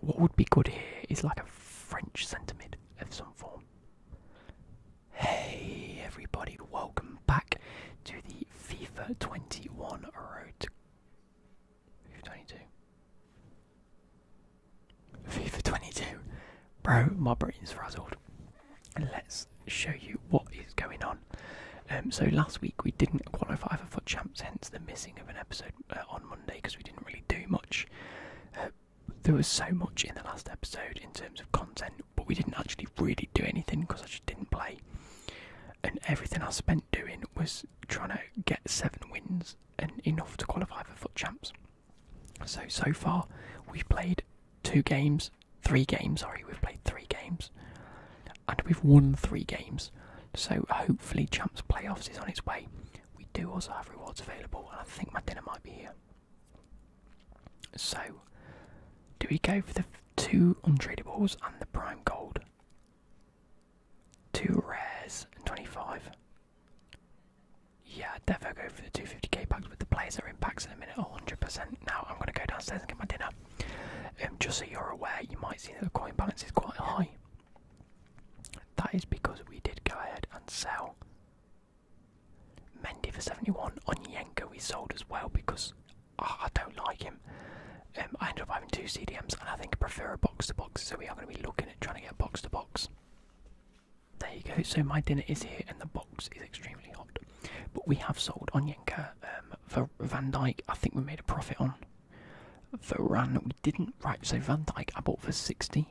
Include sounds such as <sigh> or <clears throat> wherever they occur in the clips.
What would be good here is like a French sentiment of some form. Hey everybody, welcome back to the FIFA 21 Road FIFA 22. FIFA 22. Bro, my brain's frazzled. Let's show you what is going on. Um, so last week we didn't qualify for Foot Champs, hence the missing of an episode uh, on Monday because we didn't really do much. Uh, there was so much in the last episode in terms of content, but we didn't actually really do anything because I just didn't play. And everything I spent doing was trying to get seven wins and enough to qualify for foot champs. So so far, we've played two games, three games. Sorry, we've played three games, and we've won three games. So hopefully, champs playoffs is on its way. We do also have rewards available, and I think my dinner might be here. So, do we go for the two untradeables and the prime gold? Two rares and 25. Yeah, definitely go for the 250k packs with the plays are in packs in a minute, 100%. Now I'm going to go downstairs and get my dinner. Um, just so you're aware, you might see that the coin balance is quite high. That is because we did go ahead and sell Mendy for 71. on Onyenko we sold as well because ah, I don't like him. Um, I ended up having two CDMs and I think I prefer a box to box, so we are going to be looking at trying to get box to box. There you go, so my dinner is here and the box is extremely hot. But we have sold on um, for Van Dyke, I think we made a profit on. Varane, we didn't. Right, so Van Dyke, I bought for 60,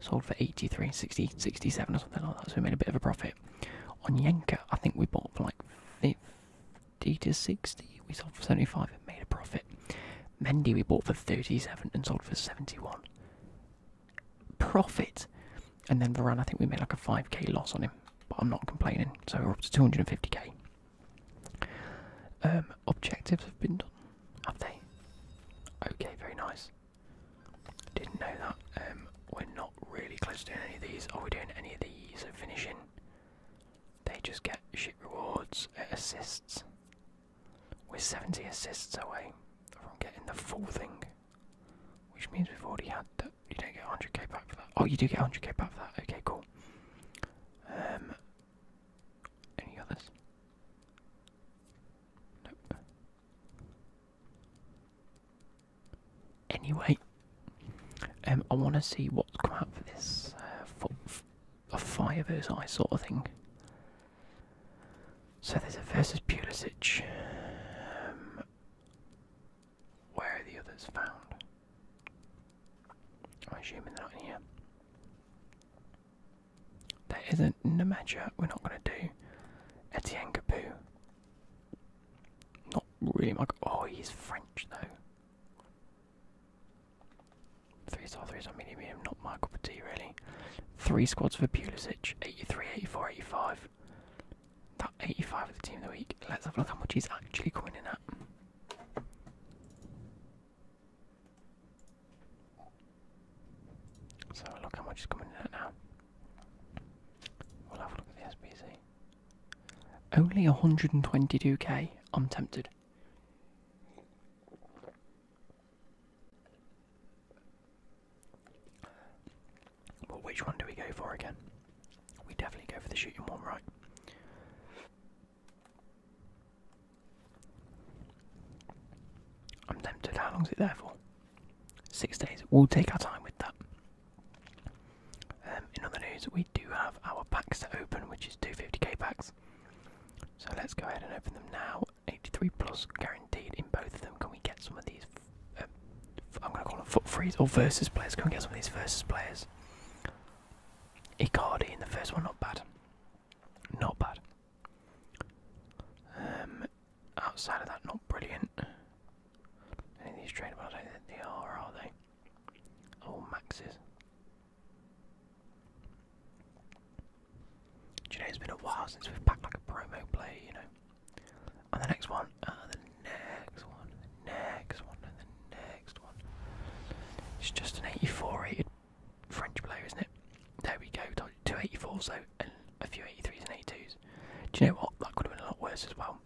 sold for 83, 60, 67 or something like that, so we made a bit of a profit. On Yenka, I think we bought for like 50 to 60, we sold for 75 and made a profit. Mendy, we bought for 37 and sold for 71. Profit! And then Varane, I think we made like a 5k loss on him, but I'm not complaining, so we're up to 250k. Um, objectives have been done, have they? Okay, very nice. Didn't know that. Um, we're not really close to doing any of these. Are we doing any of these finishing? They just get shit rewards, uh, assists. We're 70 assists away from getting the full thing, which means we've already had that. You don't get 100k back for that. Oh, you do get 100k back for that. Okay, cool. Um, any others? Nope. Anyway, um, I want to see what's come out for this uh, for, a fire versus ice sort of thing. So there's a versus Pulisic. Um, where are the others found? I'm assuming they're not in here. That isn't Namaja, we're not going to do. Etienne Capu. Not really my. Oh, he's French though. Three star threes on medium medium, not Michael Petit really. Three squads for Pulisic 83, 84, 85. That 85 of the team of the week. Let's have a look how much he's actually coming in at. So look how much is coming in at now. We'll have a look at the SBC. Only 122k. I'm tempted. But which one do we go for again? We definitely go for the shooting wall, right? I'm tempted. How long is it there for? Six days. We'll take our time with that. Um, in other news, we do have our packs to open, which is 250k packs. So let's go ahead and open them now. 83 plus guaranteed in both of them. Can we get some of these? Um, I'm going to call them foot freeze or versus players. Can we get some of these versus players? Icardi in the first one, not bad. Not bad. Um, outside of that, not brilliant. Any these tradeable? I don't think they are, are they? All oh, maxes. Today has been a while since we've packed like a promo play, you know? And the next one, the next one, next one, and the next one. It's just an 84 rated French player, isn't it? There we go, 284 so, and a few 83s and 82s. Do you know what? That could have been a lot worse as well,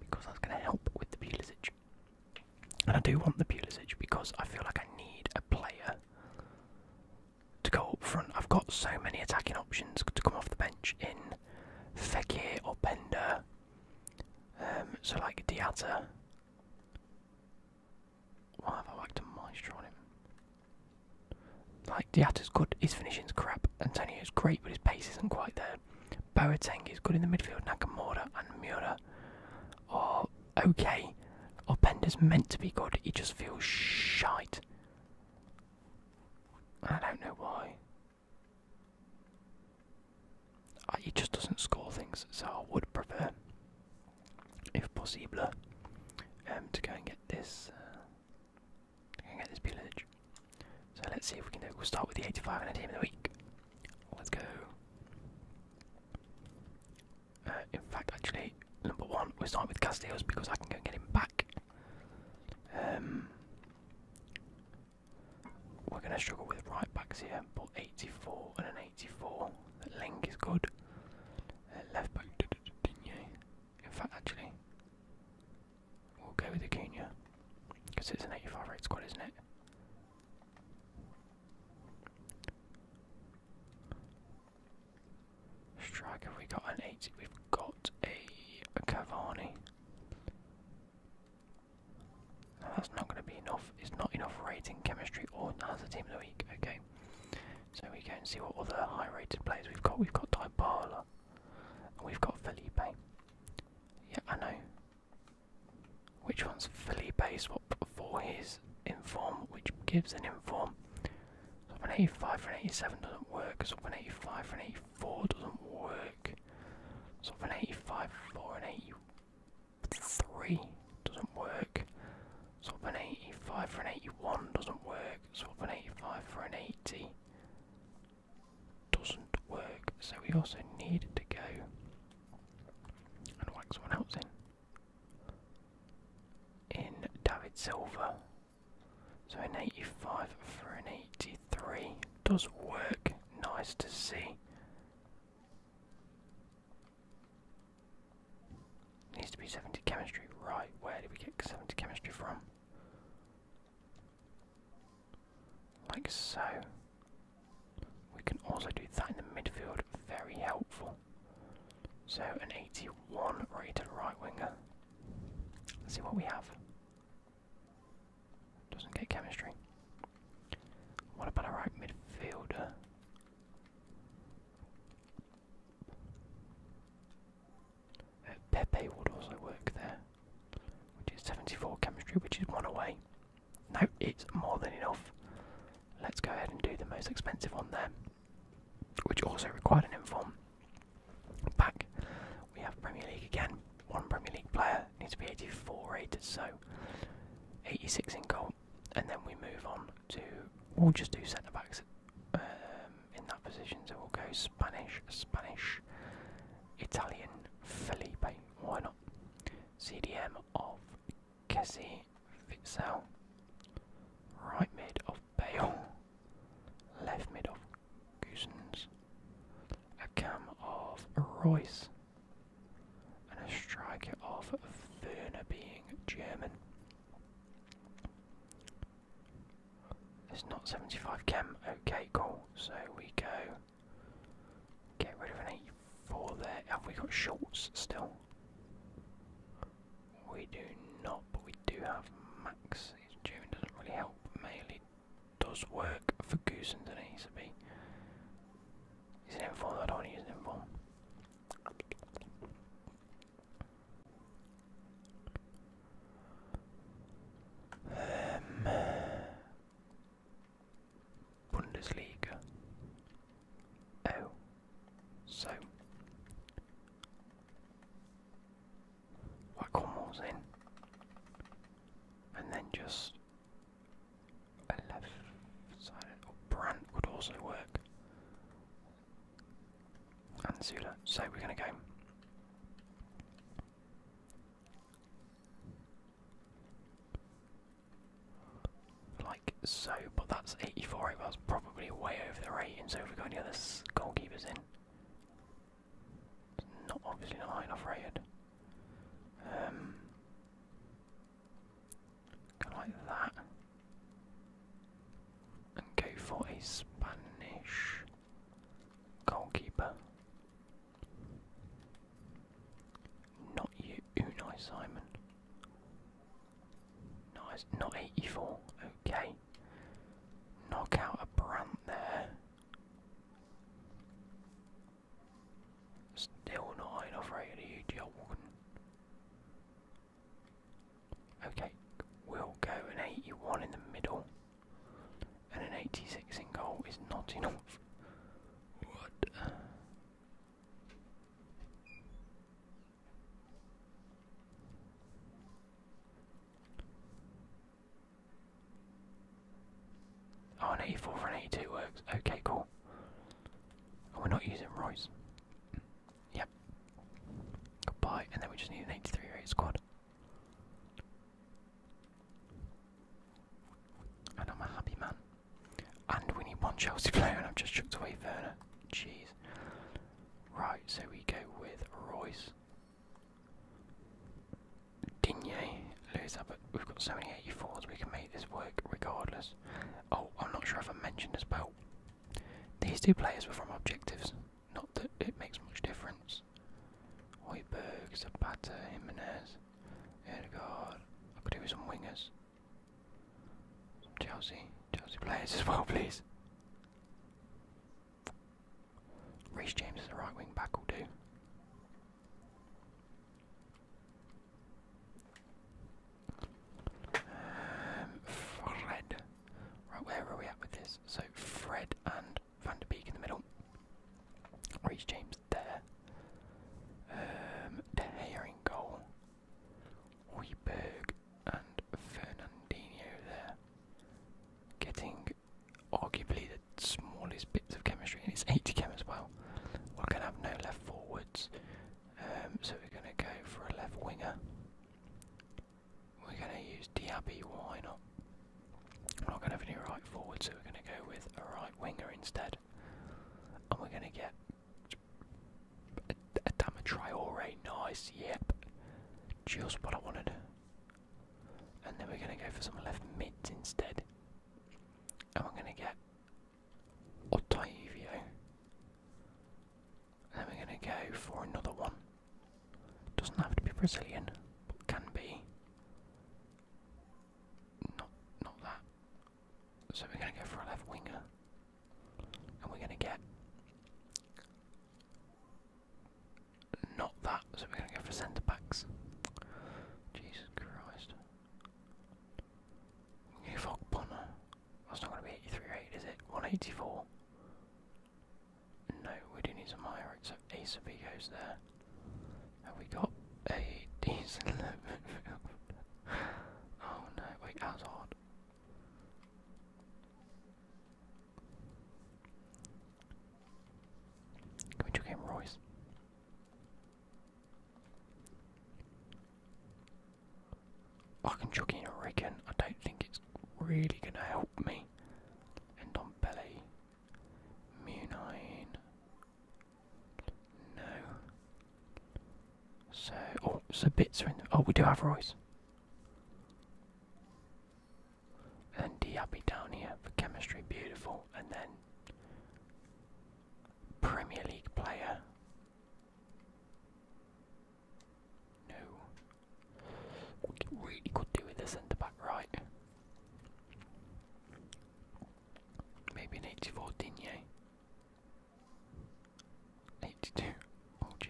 because that's going to help with the Pulisic. And I do want the Pulisic because I feel like I need a player to go up front. I've got so many attacking options to come off the bench in Fekir or Bender. Um, so like Diatta, why have I whacked a maestro on him? Like, Diata's good, his finishing's crap. Antonio's great, but his pace isn't quite there. Boateng is good in the midfield. Nakamura and Miura are okay. Or Openda's meant to be good, he just feels shite. I don't know why. He just doesn't score things, so I would prefer if possible, um, to go and get this, uh, get this pillage. So let's see if we can do We'll start with the 85 and the team of the week. Let's go. Uh, in fact, actually, number one, we'll start with Casteos because I can go and get him back. Um, we're going to struggle with right backs here, but 84 and an 84. Link is good. left back, Digne. In fact, actually, we'll go with Acuna because it's an 85 squad, isn't it? Strike, have we got an 80? We've got a Cavani. That's not going to be enough. It's not enough rating chemistry or has a team of the week. Okay, so we go and see what other high rated players we've got. We've got Dybala and we've got Felipe. Yeah, I know. Which one's Felipe swap for his inform, which gives an inform. So an 85 for 87 doesn't work, so an 85 for 84 doesn't work. So an 85 for an 81 three doesn't work. Swap an 85 for an 81 doesn't work. Swap an 85 for an 80 doesn't work. So we also need to go and whack someone else in. In David Silver. So an 85 for an 83 does work. Nice to see. Needs to be 70 chemistry. Right, where did we get 70 chemistry from? Like so. We can also do that in the midfield. Very helpful. So an 81 rated right winger. Let's see what we have. Doesn't get chemistry. What about a right midfielder? Uh, Pepe would also work there, which is 74 chemistry, which is one away. No, it's more than enough. Let's go ahead and do the most expensive one there, which also required an inform. Back, we have Premier League again. One Premier League player needs to be 84 rated, so 86 in goal, and then we move on to. We'll just do centre backs um, in that position. So we'll go Spanish, Spanish, Italian, Felipe. Why not? CDM of Kessie Fitzell. Right mid of Bale. Left mid of Goosens. A cam of Royce and a striker of Werner being German. It's not 75 chem, okay, cool. So we go get rid of an 84 there. Have we got shorts still? We do not, but we do have Max. His German doesn't really help. Mainly does work for Goosen, doesn't he? So be. He's an 4 I don't want to use an 4 Ähm, Bundesliga. Oh, so like Cornwall's in, and then just a left-sided, or also work, and So we're going to go. Like so, but that's 84 over, that's probably way over the rating, so if we got any other goalkeepers in, it's not obviously not high enough rated. Um, Go like that. And go for a Spanish goalkeeper. Not you, Unai Simon. Nice, not 84. Okay. Knock out a brand there. Still not high enough rated, you Jordan. Okay, we'll go an 81 in the middle, and an 86 in goal is not enough. What? Oh, an 84 for an 82 works. Okay, cool. And we're not using Royce. Yep. Goodbye. And then we just need an 83 rate squad. And I'm a happy man. And we need one Chelsea player, and I've just chucked away Werner. Jeez. Right, so we go with Royce. Digne, Lewis Abbott. We've got so many 84s, we can make this work regardless. Oh, I'm not sure if I mentioned this. But These two players were from objectives. Not that it makes much difference. Hoiberg, Zapata, Jimenez, Erdegaard. I could do with some wingers. Some Chelsea, Chelsea players <laughs> as well, please. Reece James as a right wing back will do. Um, Fred. Right, where are we at with this? So Fred and Van der Beek in the middle. Reece James there. Um, De goal. Hoiberg and Fernandinho there. Getting arguably the smallest bits of chemistry, and it's 80 chem as well. We're going to have no left forwards. Um, so we're going to go for a left winger. We're going to use Diaby, why not? We're not going to have any right forwards, so we're going to go with a right winger instead. And we're going to get a, a Dama Traore, nice, yep. Just what I wanted. And then we're going to go for some left mids instead. And we're going to get Ottavio. Then we're going to go for another one. Doesn't have to be Brazilian, but can be. Not, not that. So we're going to go for a left winger, and we're going to get. Not that. So we're going to go for centre backs. Jesus Christ. Okay, Fog That's not going to be 838, is it? 184. No, we do need some higher Ace of B goes there. Have we got a decent midfield? <laughs> oh no, wait, that's odd. Can we game Royce? I can chuck in a reckon. I don't think it's really going to help me. End on belly. Munine. No. So, oh, so bits are in. oh, we do have Royce. And then for chemistry, beautiful. And then Premier League player. No. really could do with centre back right. Maybe an 84 Digne. 82. Oh jeez.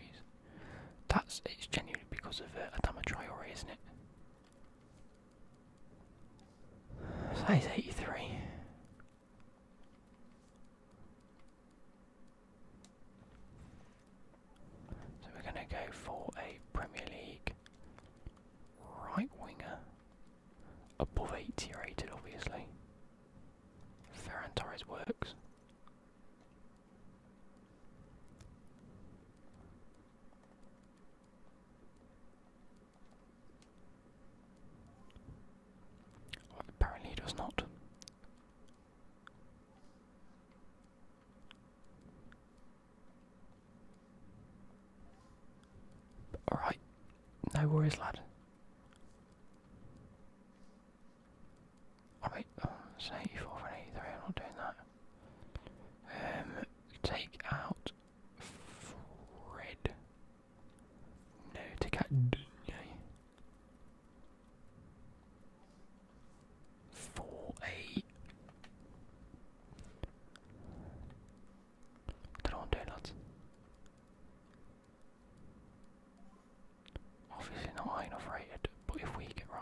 That's it's genuinely because of uh, Adama Traore, isn't it? Size 83. So we're going to go for a Premier League right winger, above 80 rated obviously. Ferran Torres works apparently it was not. Alright, no worries, lad. Alright, oh, I'm not doing that. Um, take out Fred. No, to out Four eight. Don't Obviously not high enough rated, but if we get right.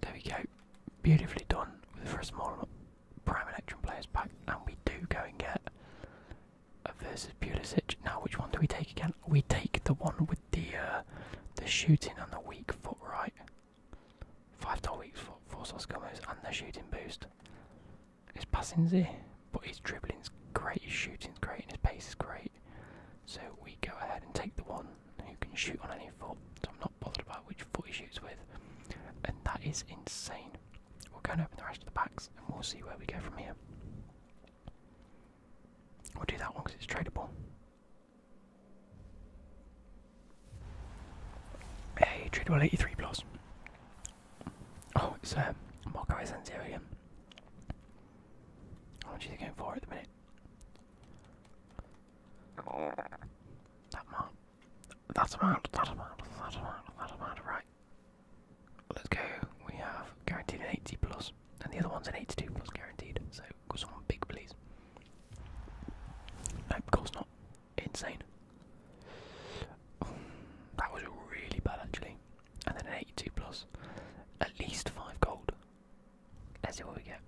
There we go, beautifully done with the first model prime electron players pack, and we do go and get a versus Pulisic. Now, which one do we take again? We take the one with the uh, the shooting on the weak foot, right? Five total weeks for four sauce combos and the shooting boost. His passing's here, but his dribbling's great, his shooting's great, and his pace is great. So we go ahead and take the one who can shoot on any foot. So I'm not bothered about which foot he shoots with. And that is insane. We'll go and open the rest of the packs and we'll see where we go from here. We'll do that one because it's tradable. Hey, trade well 83 plus. Oh, it's uh, um, Marco Asensio again. How much is he going for at the minute? That amount. That amount, that amount, that amount, that amount, right. Let's go. We have guaranteed an 80 plus, and the other one's an 82 plus guaranteed. So, go someone big, please. No, of course not insane. <sighs> that was really bad actually. And then an 82 plus, at least 5 gold. Let's see what we get.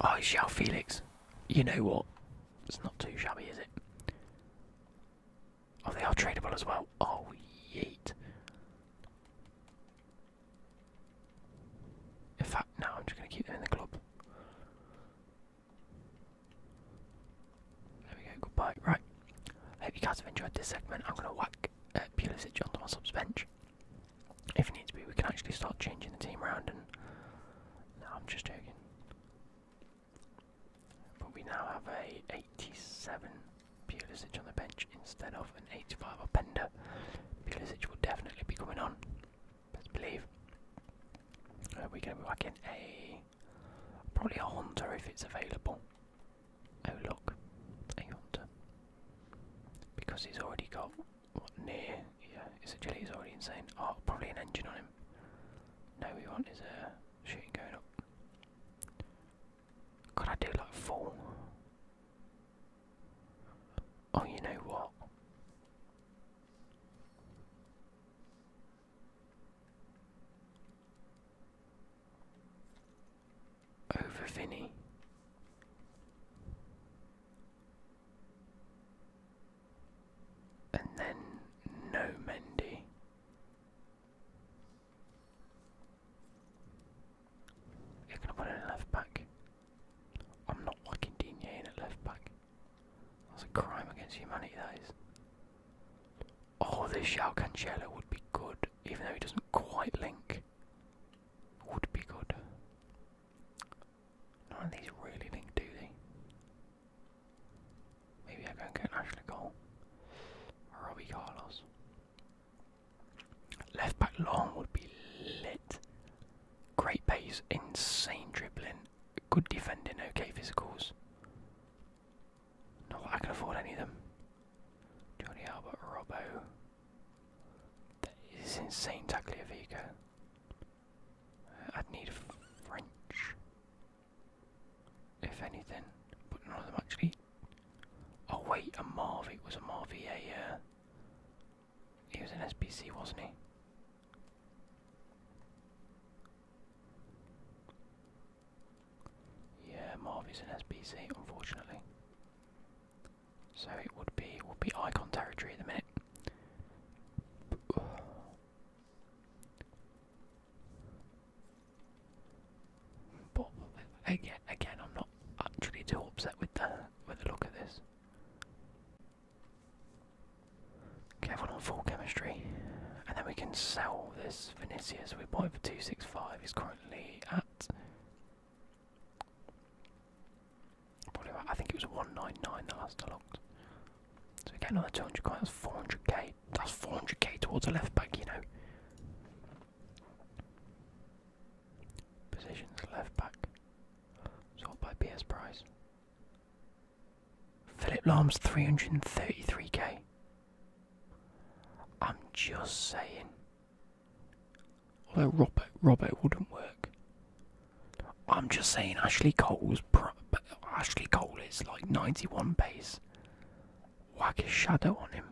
Oh, Shao Felix. You know what? It's not too shabby, is it? Oh, they are tradable as well. Oh, yeet. In fact, no, I'm just going to keep them in the club. There we go, goodbye. Right, I hope you guys have enjoyed this segment. I'm going to whack uh, Pulisic onto my subs bench. If you needs be, we can actually start changing the team around and... No, I'm just joking. But we now have a 87 Pulisic on the bench instead of an 85 Openda. Pulisic will definitely be coming on best believe. Uh, we're going to be whacking a. probably a Honda if it's available. Oh, look, a Honda. Because he's already got what near. Yeah, his agility is already insane. Oh, probably an engine on him. No, we want is a uh, shooting going up. Could I do like full? Oh, you know what? Over Vinny. And then no Mendy. You're going to put in left back. I'm not fucking Digne in a left back. That's a crime against humanity, that is. Oh, this Shao Cancelo would be good, even though he doesn't quite link. Would be good. None of these really link, do they? Maybe I go and get an Ashley goal. Robbie Carlos. Left back long would be lit. Great pace, insane dribbling, good defending, okay physicals. Not that I can afford any of them. Johnny Albert Robbo. That is insane Tagliafico. I'd need French. If anything. But none of them actually. Oh wait, a Marvy was a Marvy a uh, he was an SPC, wasn't he? Yeah, Marvy's an SBC, unfortunately. So it would be it be icon territory at the minute. But again, again, I'm not actually too upset with the with the look of this. Kevin on full chemistry. And then we can sell this Vinicius we bought it for 265. He's currently at probably about, I think it was 199 that last I looked. So we get another 200 quid, that's 400k. That's 400k towards a left back, you know. Positions left back. Sold by PS Price. Philip Lahm's 333k. I'm just saying. Although Robert, Robert wouldn't work. I'm just saying Ashley Cole's pro Ashley Cole is like 91 base. Whack his shadow on him.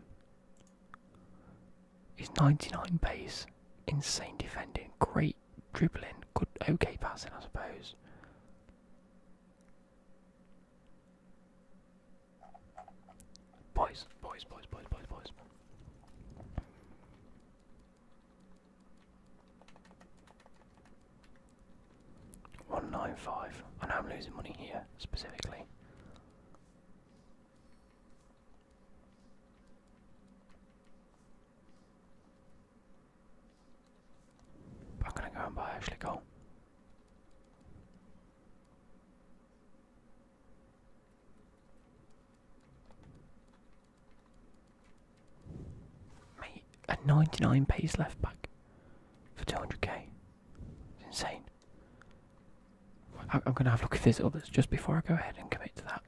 He's 99 base, insane defending, great dribbling, good, okay passing, I suppose. Boys, boys, boys, boys, boys, boys. One nine five. I know I'm losing money here specifically. But I'm gonna go and buy actually coal. Mate, a 99 pace left back for 200k. It's insane. I'm gonna have a look at there's others just before I go ahead and commit to that.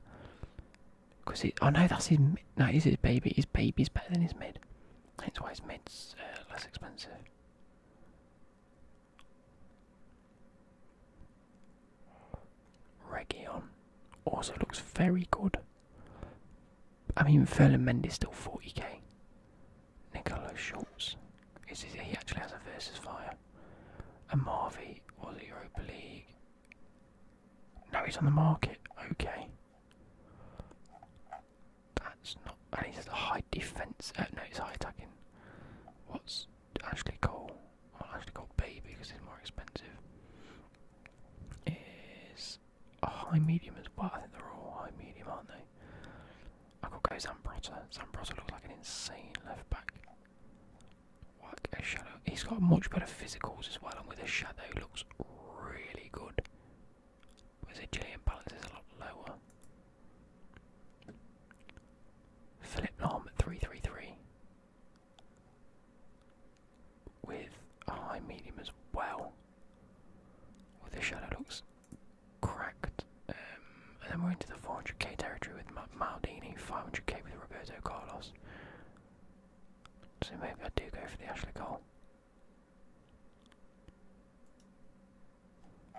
Because it, oh no, that's his mid. No, it is his baby. His baby's better than his mid. That's why his mid's uh, less expensive. Region also looks very good. I mean, Ferland Mendy's still 40k. Nicolo Schultz. Is, is, he actually has a versus fire. A Marvi or the Europa League. No, he's on the market. Okay. That's not. And he's a high defense. Uh, no, he's high attacking. What's actually called? Well, Ashley Cole B because it's more expensive. Is a high medium as well. I think they're all high medium, aren't they? I've got to go Zambrotta. looks like an insane left back. Like a shadow. He's got much better physicals as well, and with a shadow looks really good. His agility and is a lot lower. Philip Norm 333. With a high medium as well. With the shadow looks cracked. Um, and then we're into the 400k territory with Maldini, 500k with Roberto Carlos, so maybe I do go for the Ashley Cole.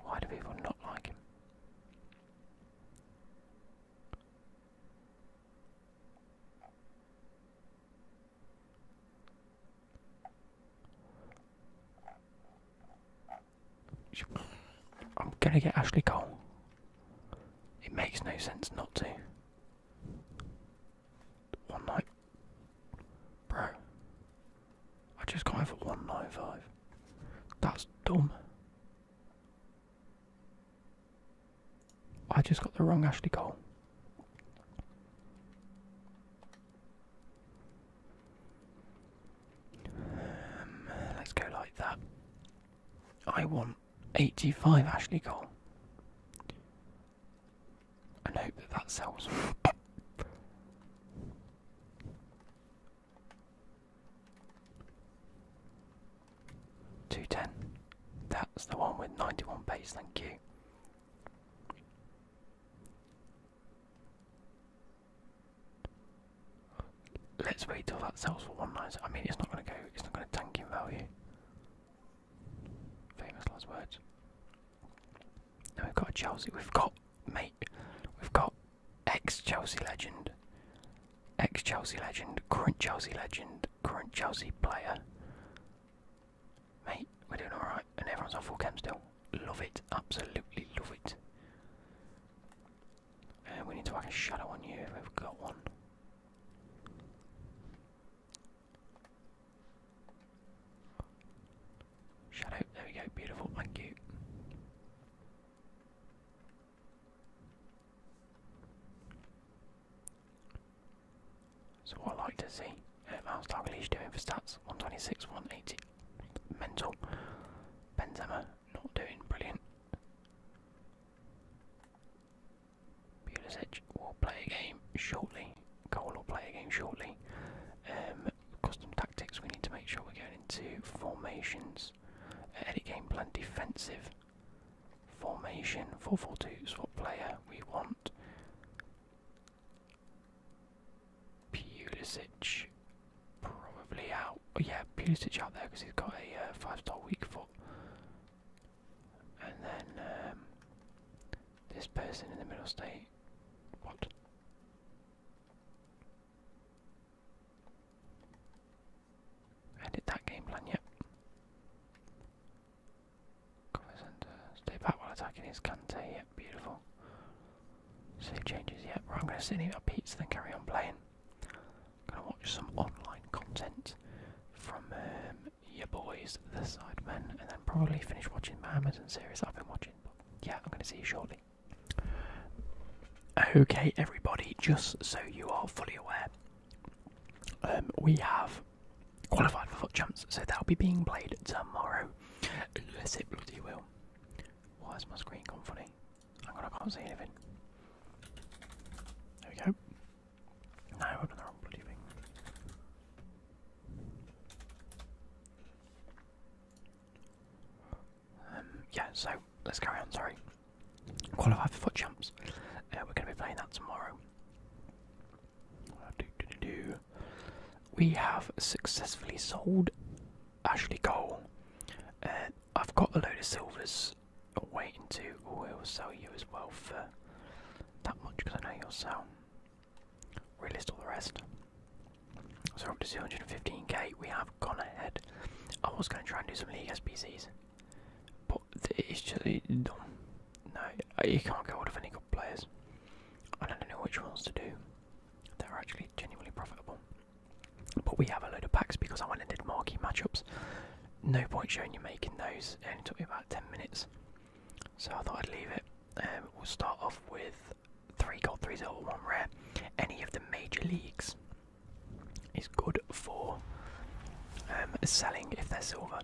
Why do people not like him? I'm gonna get Ashley Cole. It makes no sense not to. One night. Bro. I just got over 195. That's dumb. I just got the wrong Ashley Cole. Um, let's go like that. I want 85 Ashley Cole. And hope that that sells. Two ten. That's the one with ninety one pace, thank you. Let's wait till that sells for one nine. I mean, it's not going to go. It's not going to tank in value. Famous last words. Now we've got Chelsea. We've got mate. We've got ex-Chelsea legend, ex-Chelsea legend, current Chelsea legend, current Chelsea player. Mate, we're doing alright, and everyone's on full cam still. Love it, absolutely love it. And we need to whack a shadow on you if we've got one. Shadow, there we go, beautiful, thank you. So what I like to see, um, how's Dalglish doing for stats? 126, 180, mental. Benzema, not doing brilliant. Pulisic will play a game shortly. Cole will play a game shortly. Um, custom tactics, we need to make sure we're going into formations. Uh, edit game plan defensive. Formation, 4-4-2 swap player, we want Pulisic probably out. Oh yeah, Pulisic out there because he's got a uh, five-star weak foot. And then um, this person in the middle state. What? Edit that game plan, yep. Cover Stay back while attacking his Kante, yep, beautiful. Save changes, yet? Right, I'm going to sit here, up Pete's, then carry on playing. Gonna watch some online content from um, your boys, the Sidemen, and then probably finish watching my Amazon series I've been watching. yeah, I'm gonna see you shortly. Okay, everybody, just so you are fully aware, um, we have qualified for foot jumps, so that'll be being played tomorrow. Unless it bloody will. Why has my screen gone funny? I can't see anything. There we go. I opened the wrong bloody um, yeah, so let's carry on, sorry. Qualify for foot jumps. Uh, we're going to be playing that tomorrow. We have successfully sold Ashley Cole. Uh, I've got a load of silvers Oh, waiting to, oh, it will sell you as well for that much because I know you'll sell. Relist all the rest. So up to 215k. We have gone ahead. I was going to try and do some League SPCs, but it's just dumb. No, you can't get hold of any good players. I don't know which ones to do they are actually genuinely profitable. But we have a load of packs because I went and did marquee matchups no point showing you making those. It only took me about 10 minutes. So I thought I'd leave it. Um, we'll start off with 3 gold, 3 silver, 1 rare. Any of the major leagues is good for um, selling if they're silver.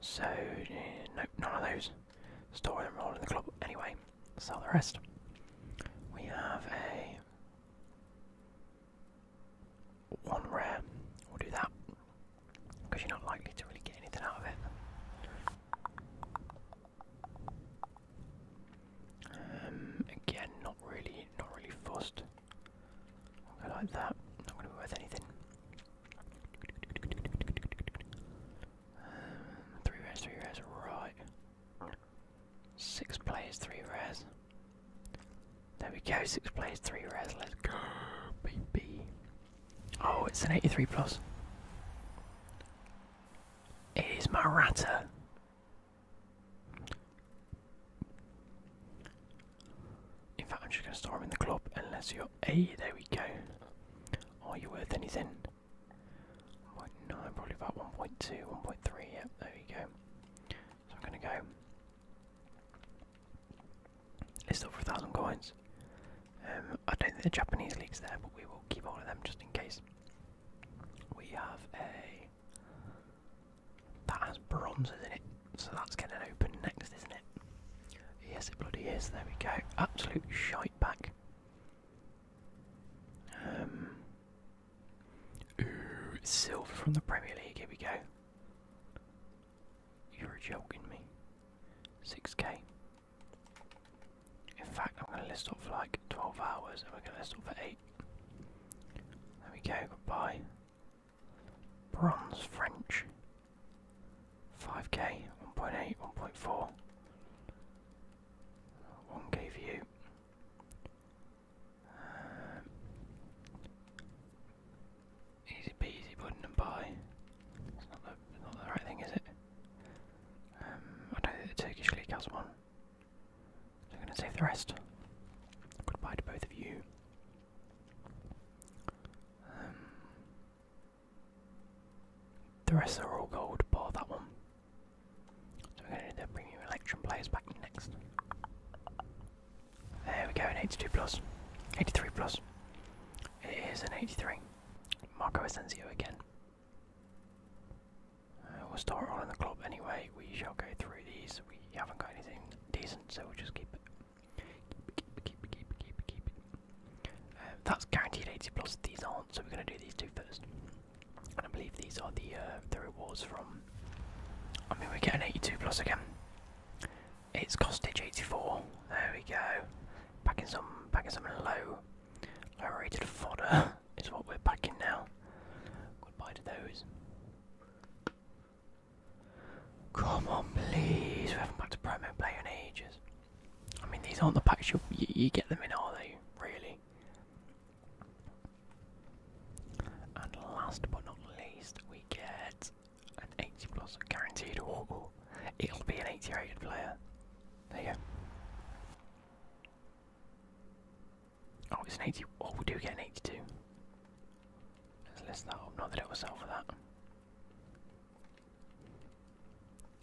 So, yeah, none of those. Store them, all in the club. Anyway, sell the rest. We have a one rare. We'll do that because you're not likely to really get anything out of it. Um, again, not really, not really fussed. i like that. Not going to be worth anything. Um, three rares, three rares, right. Six plays, three rares. There we go, six plays, three rares. Let's go, baby. Oh, it's an 83 plus. It is Maratta. In fact, I'm just going to store him in the club unless you're A. There we go. Are you worth anything? 1.9, probably about 1.2, 1.3. Yep, there we go. So I'm gonna go. List off a thousand coins. Um, I don't think the Japanese league's there, but we will keep all of them just in case. We have a that has bronzes in it? So that's going to open next, isn't it? Yes, it bloody is. There we go. Absolute shite back. Um, Ooh, silver from the Premier League. Here we go. You're joking me. 6k. In fact, I'm going to list off for like 12 hours and we're going to list off for 8. There we go, goodbye. Bronze French. 5k, 1.8, 1.4. 1k you. Um, easy peasy, pudding and pie. It's not the, right thing, is it? Um, I don't think the Turkish league has one. So I'm going to save the rest. Goodbye to both of you. Um, the rest are all gold, bar that one. So we're going to bring you election players back next. There we go, an 82 83 plus. It is an 83. Marco Asensio again. Uh, we'll start rolling the club anyway. We shall go through these. We haven't got anything decent, so we'll just keep it. Keep keep keep keep keep uh, that's guaranteed 80 plus. These aren't, so we're going to do these two first. And I believe these are the uh, the rewards from I mean, we are getting 82 plus again. It's Costage 84. There we go. Packing some, packing some low, low-rated fodder <laughs> is what we're packing now. Goodbye to those. Come on, please. We haven't packed a promo play in ages. I mean, these aren't the packs you, you get them in, are they? Really? And last but not least, we get an 80 plus guaranteed. Oh, It'll be an 80 rated player. There you go. Oh, it's an 80. Oh, we do get an 82. Let's list that up. Not that it was sell for that.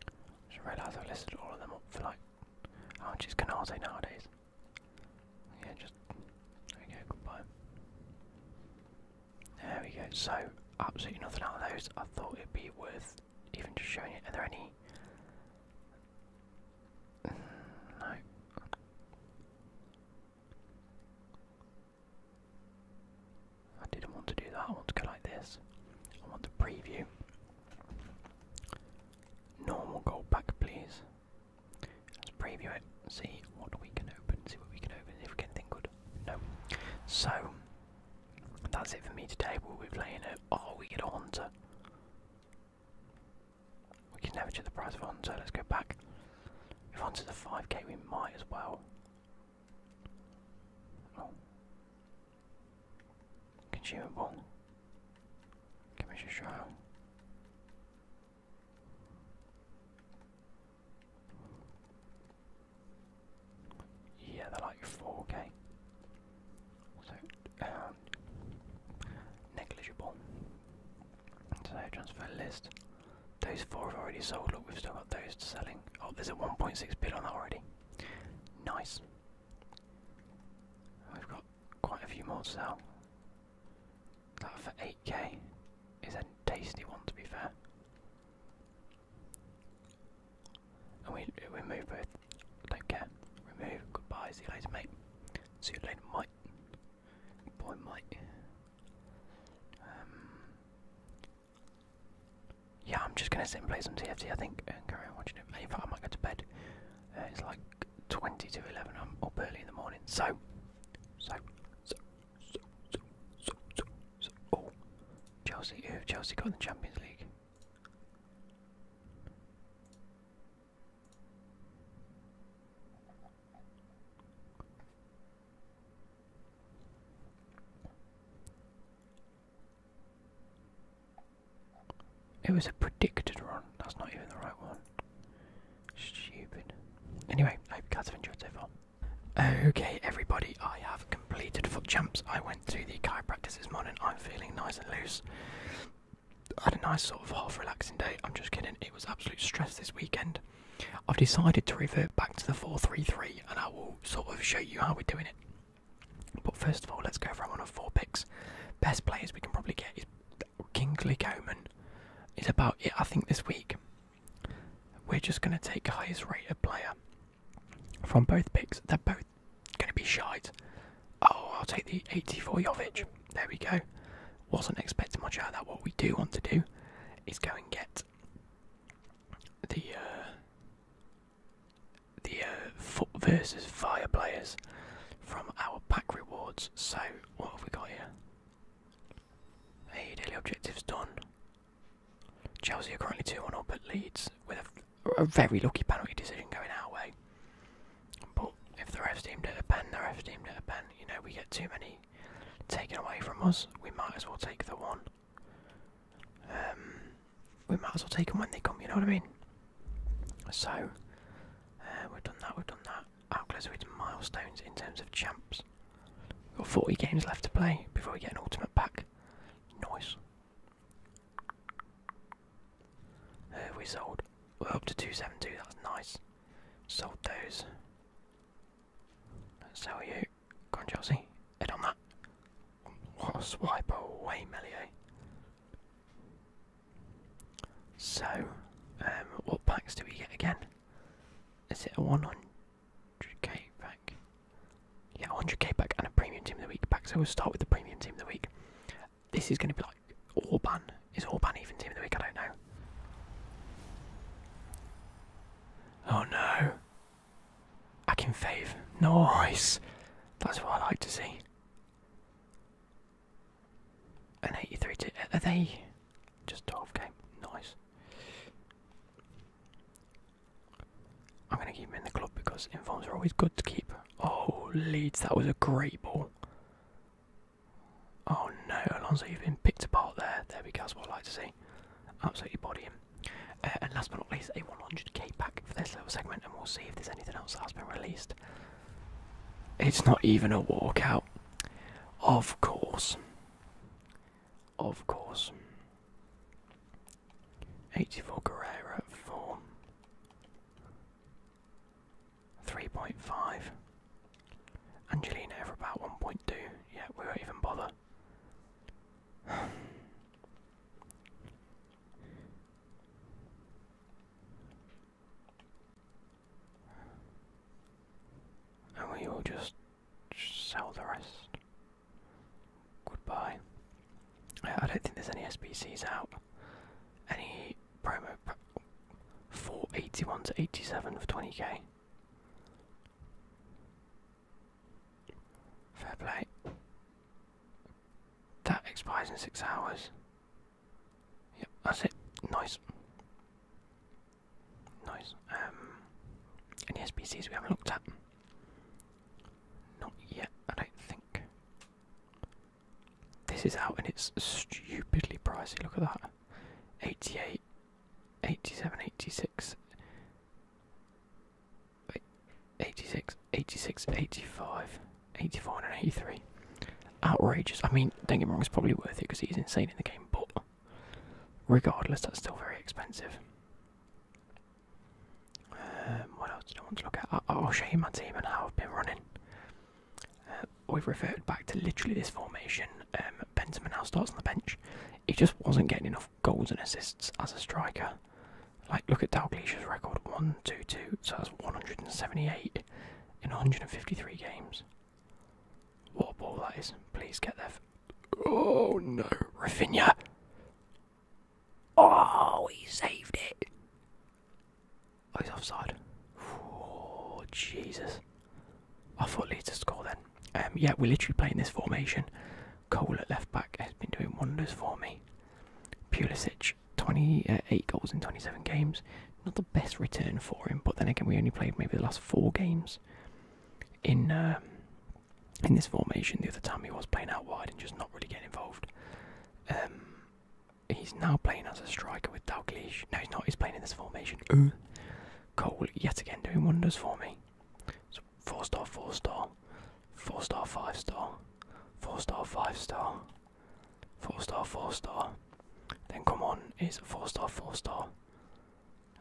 I should realise listed all of them up for like. How much is Canate nowadays? Yeah, just okay, goodbye. There we go. So absolutely nothing out of those. I thought it'd be worth even just showing it. Are there any? no. I didn't want to do that. I want to go like this. I want the preview. Normal gold back, please. Let's preview it, see what we can open, see what we can open, if we get anything good. No. So, that's it for me today. We'll be playing it. Oh, we get to Haunter. We can never check the price of Haunter. Let's go back. If Haunter's a 5k, we might as well. Oh. Consumable. Commission trial. Yeah, they're like 4k. So, um, negligible. transfer list. Those four have already sold. Look, we've still got those selling. Oh, there's a 1.6 bid on that already. Nice. We've got quite a few more to sell. That for 8k is a tasty one to be fair. And we remove both. Don't care. Remove. Goodbye. See you later, mate. See you later, Mike. Bye, Mike. Um, yeah, I'm just gonna sit and play some TFT. I think and carry on watching it. In fact, I might go to bed. Uh, it's like like 20 to 11. I'm up early in the morning. So, so, so, so, so, so, so, so. Oh, Chelsea. Who have Chelsea got in the Champions League? It was a predicted run, that's not even the right one. Stupid. Anyway, I hope you guys have enjoyed so far. Okay, everybody, I have completed Foot jumps. I went to the chiropractor this morning. I'm feeling nice and loose. I had a nice sort of half relaxing day. I'm just kidding. It was absolute stress this weekend. I've decided to revert back to the 433 and I will sort of show you how we're doing it. But first of all, let's go for one of four picks. Best players we can probably get is Kingsley Coman, it's about it. I think this week we're just going to take highest rated player from both picks. They're both going to be shite. Oh, I'll take the 84 Jovic. There we go. Wasn't expecting much out of that. What we do want to do is go and get the uh, the uh, foot versus fire players from our pack rewards. So what have we got here? Hey, daily objectives done. Chelsea are currently 2 1 up at Leeds with a, very lucky penalty decision going our way. But if the ref deemed it a pen, the ref deemed it a pen. You know, we get too many taken away from us, we might as well take the one. Um, we might as well take them when they come, you know what I mean? So, uh, we've done that, we've done that how of its milestones in terms of champs? We've got 40 games left to play before we get an ultimate pack. Nice. we sold. are up to 272, that's nice. Sold those. Sell you. Go on, Chelsea. Head on that. What a swipe away, Melier. So, um, what packs do we get again? Is it a 100k pack? Yeah, 100k pack and a premium team of the week pack. So we'll start with the premium team of the week. This is going to be like all ban. Is all ban even team of the week? I don't know. Oh no. I can fave. Nice. That's what I like to see. An 83 to. Are they just 12k? Nice. I'm going to keep him in the club because informs are always good to keep. Oh, Leeds, that was a great ball. Oh no, Alonso, you've been picked apart there. There we go, that's what I like to see. Absolutely body him. Uh, and last but not least, a 100k pack for this little segment, and we'll see if there's anything else that's been released. It's not even a walkout. Of course. Of course. 84 Guerrero at 4. 3.5. Angelina for about 1.2. Yeah, we won't even bother. And we will just sell the rest. Goodbye. I don't think there's any SPCs out. Any promo 481 to 87 for 20k. Fair play. That expires in six hours. Yep, that's it. Nice. Nice. Um, any SPCs we haven't looked at? Not yet, I don't think. This is out and it's stupidly pricey, look at that. 88, 87, 86, 86, 86, 85, 84 and 83 outrageous. I mean, don't get me wrong, it's probably worth it because he's insane in the game, but regardless, that's still very expensive. Um, what else do I want to look at? I will show you my team and how I've been running. Uh, we've reverted back to literally this formation. Um, Bentham now starts on the bench. He just wasn't getting enough goals and assists as a striker. Like, look at Dalglish's record 1 2 2, so that's 178 in 153 games. What ball that is. Please get there. Oh no, Rafinha. Oh, he saved it. Oh, he's offside. Oh, Jesus. I thought Leeds to score then. Um, yeah, we're literally playing this formation. Cole at left back has been doing wonders for me. Pulisic, 28 uh, goals in 27 games best return for him. But then again, we only played maybe the last four games in uh, in this formation. The other time he was playing out wide and just not really getting involved. Um, he's now playing as a striker with Dalglish. No, he's not. He's playing in this formation. Cole yet again doing wonders for me. four star, four star, four star, five star, four star, five star, Four star, four star. Then come on is four star, four star.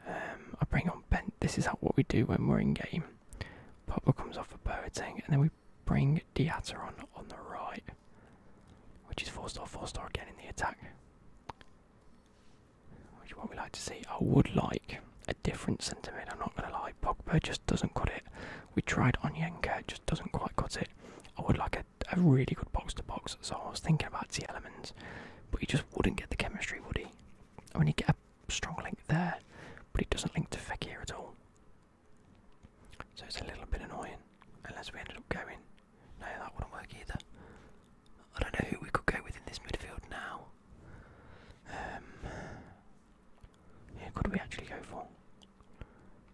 Um, I bring on Bent. This is what we do when we're in game. Papa comes off for birding, and then we bring Diatta on on the right, which is four star, four star again in the attack. Which is what we like to see. I would like a different centre I'm not gonna lie, Pogba just doesn't cut it. We tried on Yenka, just doesn't quite cut it. I would like a a, really good box to box, so I was thinking about T Elements, but he just wouldn't get the chemistry, would he? I mean, he get a strong link there, but he doesn't link to Fekir at all. So it's a little bit annoying, unless we ended up going. No, that wouldn't work either. I don't know who we could go with in this midfield now. Um, who could we actually go for?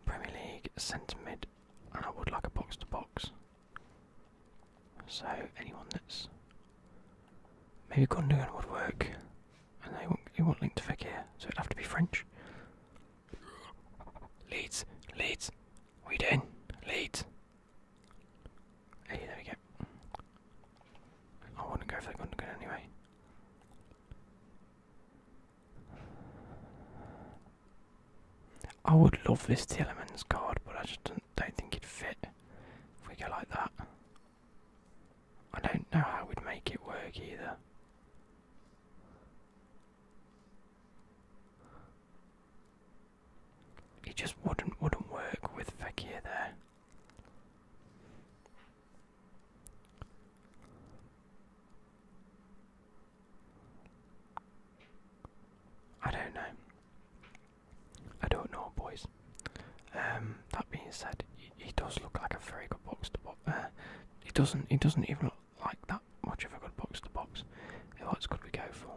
Premier League, centre mid, and I would like a box to box. So anyone that's maybe going to Gondogan would work, and they want not you will link to figure, so it'd have to be French. Leeds, Leeds, we did Leeds. there we go. I wouldn't go for the Gondogan anyway. I would love this Telemans card, but I just don't, think it'd fit if we go like that. I don't know how we'd make it work either. It just wouldn't wouldn't work with Vecchia there. I don't know. I don't know, boys. Um, that being said, he, does look like a very good box to box. Uh, he doesn't. He doesn't even look like that much of a good box to box. What's could we go for?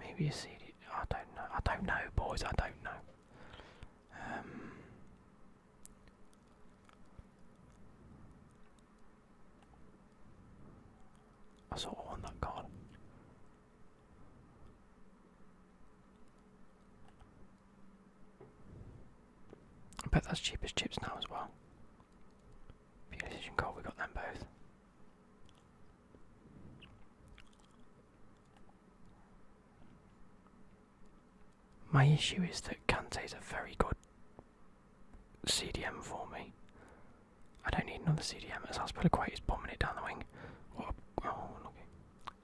Maybe a CD. I don't know. I don't know, boys. I don't know. Um, I saw of want that card. I bet that's cheap as chips now as well. Fusion Coal, we got them both. My issue is that Kante's a very good CDM for me. I don't need another CDM as Aspilicueta He's bombing it down the wing. oh, okay.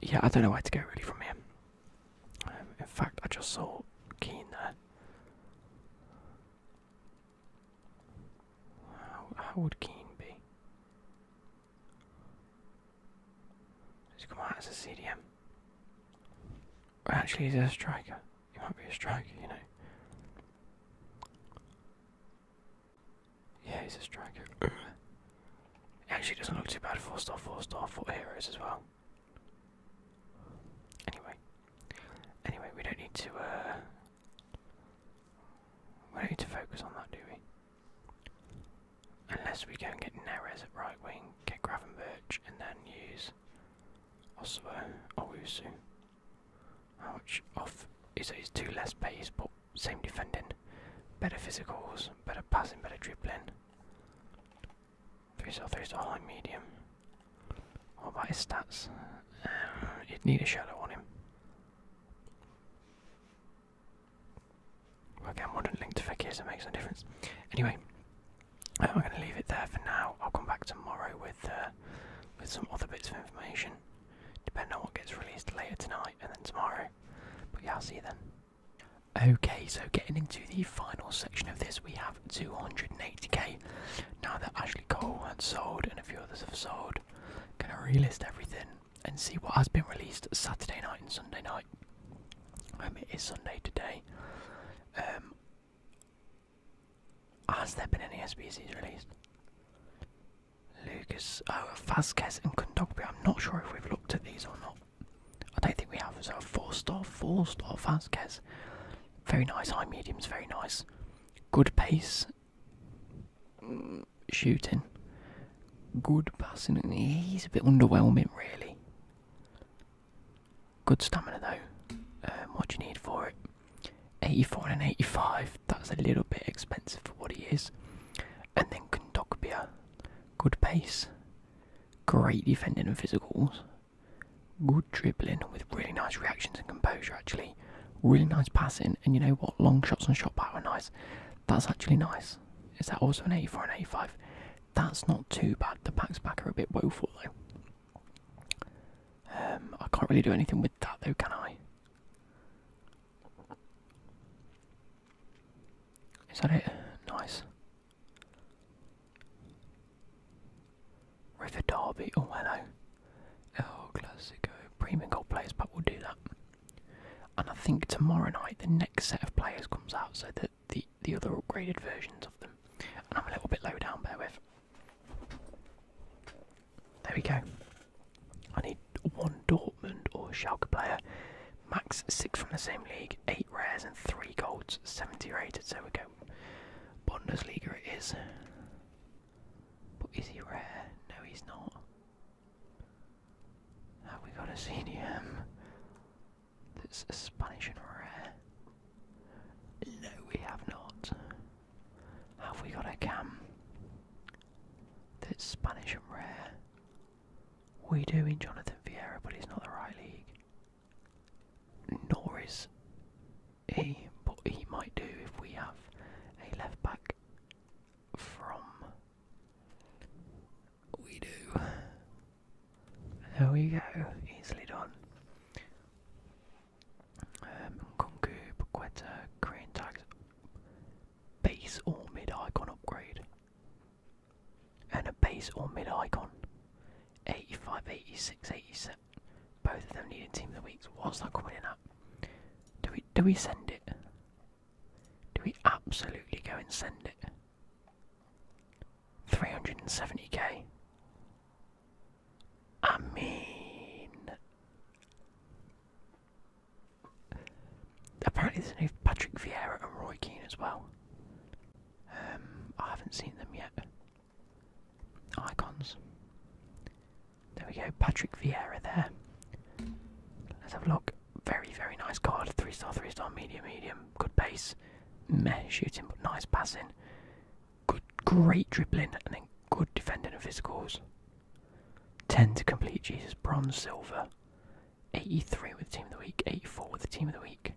Yeah, I don't know where to go really from here. Um, in fact, I just saw Keane there. How, how would Keane be? He's come out as a CDM. Actually, he's a striker. He might be a striker, you know. Yeah, he's a striker. it <clears throat> actually doesn't look too bad. Four star, four star, four heroes as well. Anyway, anyway, we don't need to. Uh, we don't need to focus on that, do we? Unless we go and get Neres at right wing, get Gravenberch, and then use Oslo, How much off. is Izzo's two less pace, but same defending. Better physicals, better passing, better dribbling. Three star, three star, high medium. What about his stats? you'd uh, need a shadow on him. Okay, i link to Fekir, so it makes no difference. Anyway, I'm going to leave it there for now. I'll come back tomorrow with uh, with some other bits of information, depending on what gets released later tonight and then tomorrow. But yeah, I'll see you then. Okay, so getting into the final section of this, we have 280k. Now that Ashley Cole had sold and a few others have sold, gonna relist everything and see what has been released Saturday night and Sunday night. Um, it is Sunday today. Um, has there been any SBCs released? Lucas, oh, Vasquez and Kondogbia. I'm not sure if we've looked at these or not. I don't think we have. So, four star, four star Vasquez. Very nice. High mediums, very nice. Good pace. Mm, shooting. Good passing. He's a bit underwhelming, really. Good stamina though. Um, what do you need for it? 84 and 85. That's a little bit expensive for what it is. And then Kondokbia. Good pace. Great defending and physicals. Good dribbling with really nice reactions and composure actually. Really nice passing and you know what? Long shots and shot power are nice. That's actually nice. Is that also an 84 and 85? That's not too bad. The packs back are a bit woeful though. Um, I can't really do anything with that though, can I? Is that it? Nice. River Derby. Oh, hello. El oh, Clasico. Premium Gold Players we will do that. And I think tomorrow night the next set of players comes out so that the the other upgraded versions of them. And I'm a little bit low down, bear with. There we go. I need one Dortmund or Schalke player. Max six from the same league, eight rares and three golds, 70 rated. So we go. Bundesliga it is. But is he rare? No, he's not. Have we got a CDM that's a Spanish and rare? No, we have not. Have we got a cam? That's Spanish and rare. We do in Jonathan Vieira, but he's not the right league. Nor is he, but he might do if we have a left back from. We do. There we go, easily done. Um, Kunku, Paqueta, base or mid icon upgrade, and a base or mid icon. 85, 86, 87. Both of them needed team of the weeks. What's that coming in at? Do we do we send it? Do we absolutely go and send it? 370k. I mean, apparently there's new Patrick Vieira and Roy Keane as well. Um, I haven't seen them yet. Icons. There we go, Patrick Vieira there. Let's have a look. Very, very nice card. Three star, three star, medium, medium. Good pace. Meh shooting, but nice passing. Good, great dribbling, and then good defending and physicals. 10 to complete Jesus, bronze, silver. 83 with the team of the week, 84 with the team of the week,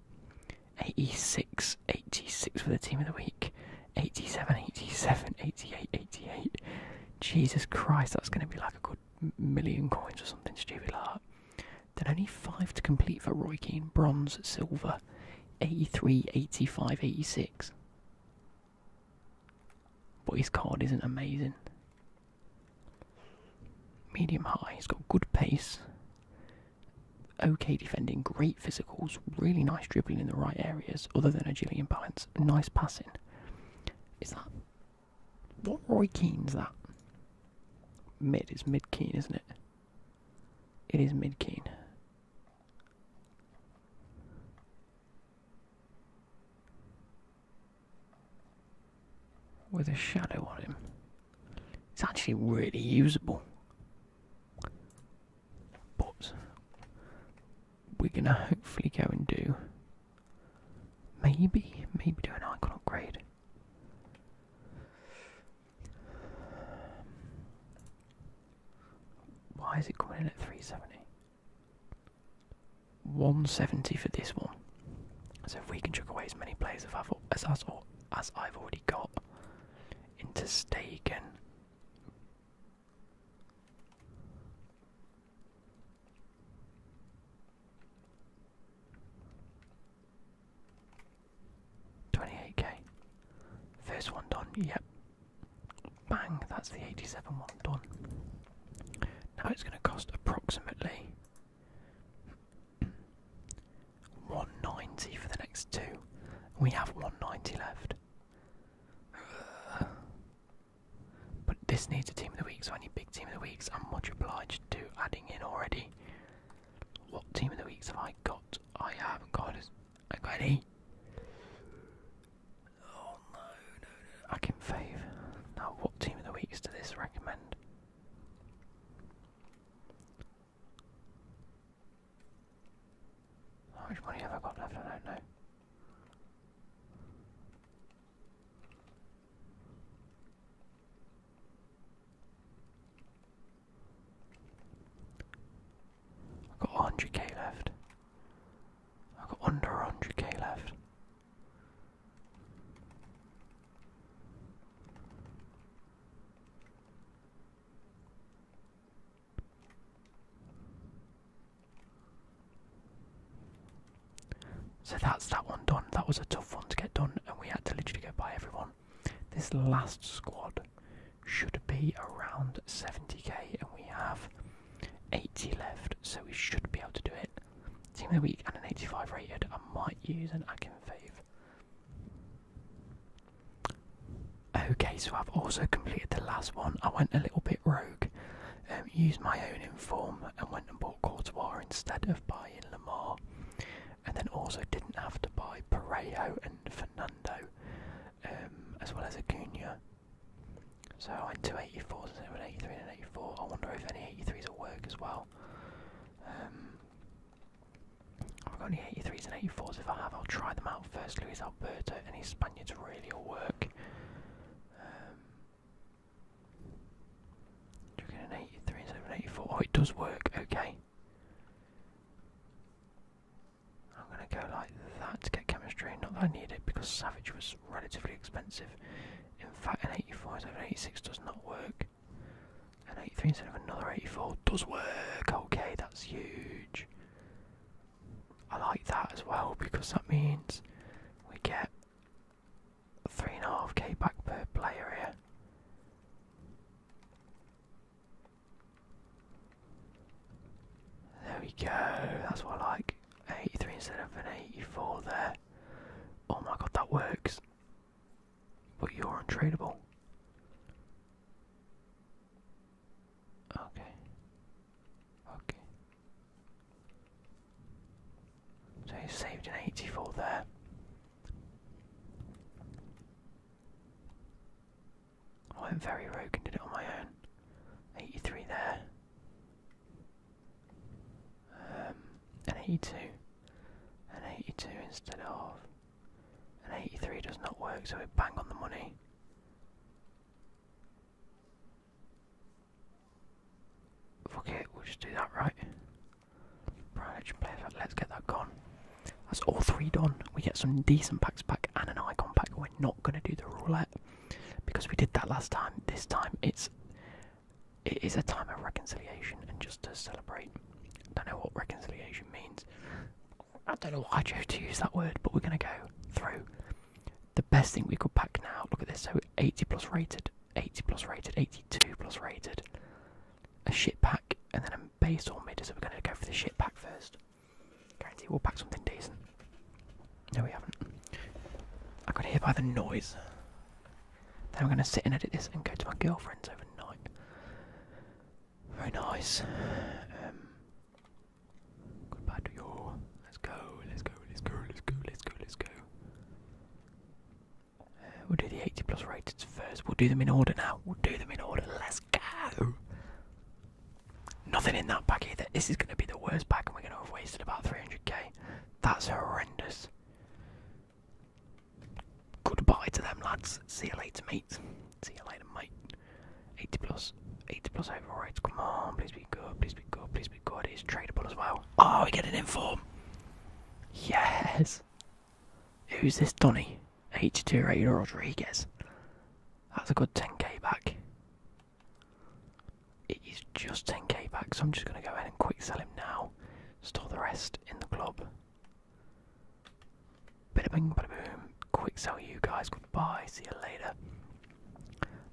86, 86 with the team of the week, 87, 87, 88, 88. Jesus Christ, that's going to be like a good million coins or something stupid like that. Then only 5 to complete for Roy Keane, bronze, silver. 83, 85, 86. But his card isn't amazing. Medium high, he's got good pace, okay defending, great physicals, really nice dribbling in the right areas, other than agility and balance, nice passing. Is that. What Roy Keane's that? Mid, it's mid Keane, isn't it? It is mid Keane with a shadow on him. It's actually really usable. But we're gonna hopefully go and do maybe, maybe do an icon upgrade. Um, why is it going in at 370? 170 for this one. So if we can chuck away as many players as as as I've already got into Stegen. 28k. First one done, yep. Bang, that's the 87 one done. Now it's going to cost approximately 190 for the next two. We have 190 left. but this needs a team of the week, so any big team of the weeks, I'm much obliged to adding in already. What team of the weeks have I got? I haven't got Okay. Oh no, no, no. I can fave. Now, what team of the weeks does this recommend? How much money have I got left? I don't know i got 100k left. i got under 100k left. So that's that one done. That was a tough one to get done, and we had to literally go by everyone. This last squad should be around 70k, and we have 80 left, so we should be able to do it. Team of the week and an 85 rated. I might use an Akinfave. Okay, so I've also completed the last one. I went a little bit rogue, um, used my own inform, and went and bought Courtois instead of buying Lamar. And then also didn't have to buy Parejo and Fernando um, as well as Acuna. So I went to 84s instead of an and an 84. I wonder if any 83s will work as well. Um, I've got any 83s and 84s. If I have, I'll try them out first. Luis Alberto, any Spaniards really will work. Um, Oh, it does work, okay. I'm gonna go like that to get chemistry, not that I need it because Savage was relatively expensive. In fact, an 84 instead of an 86 does not work. An 83 instead of another 84 does work. Okay, that's huge. I like that as well because that means we get 3.5k back per player here. There we go, that's what I like. 83 instead of an 84 there. Oh my god, that works. But you're untradeable. Okay. Okay. So he saved an 84 there. I am very rogue and did it on my own. 83 there. Um, an 82. An 82 instead of. An 83 does not work, so we bang on the money. Fuck it, we'll just do that right. Let's get that gone. That's all three done. We get some decent packs back and an icon pack. We're not going to do the roulette because we did that last time. This time it's it is a time of reconciliation and just to celebrate. I don't know what reconciliation means. I don't know why I chose to use that word, but we're going to go through the best thing we could pack now. Look at this. So 80 plus rated, 80 plus rated, 82 plus rated, a shit pack, and then a base or mid. So we're going to go for the shit pack first. Guarantee we'll pack something decent. No, we haven't. I could hear by the noise. Then I'm gonna sit and edit this and go to my girlfriend's overnight. Very nice. Um, goodbye to you. Let's go. Let's go. Let's go. Let's go. Let's go. Let's go. Uh, we'll do the 80 plus rateds first. We'll do them in order now. We'll do them in order. Let's Nothing in that bag either. This is going to be the worst pack, and we're going to have wasted about 300k. That's horrendous. Goodbye to them, lads. See you later, mate. See you later, mate. 80 plus. 80 plus overrides. Come on, please be good. Please be good. Please be good. It's tradable as well. Oh, we get an inform. Yes. Who's this, Donny? 82 rated Rodriguez. That's a good 10k back. It is just 10k back, so I'm just going to go ahead and quick sell him now. Store the rest in the club. Bada bing, bada boom. Quick sell you guys. Goodbye. See you later.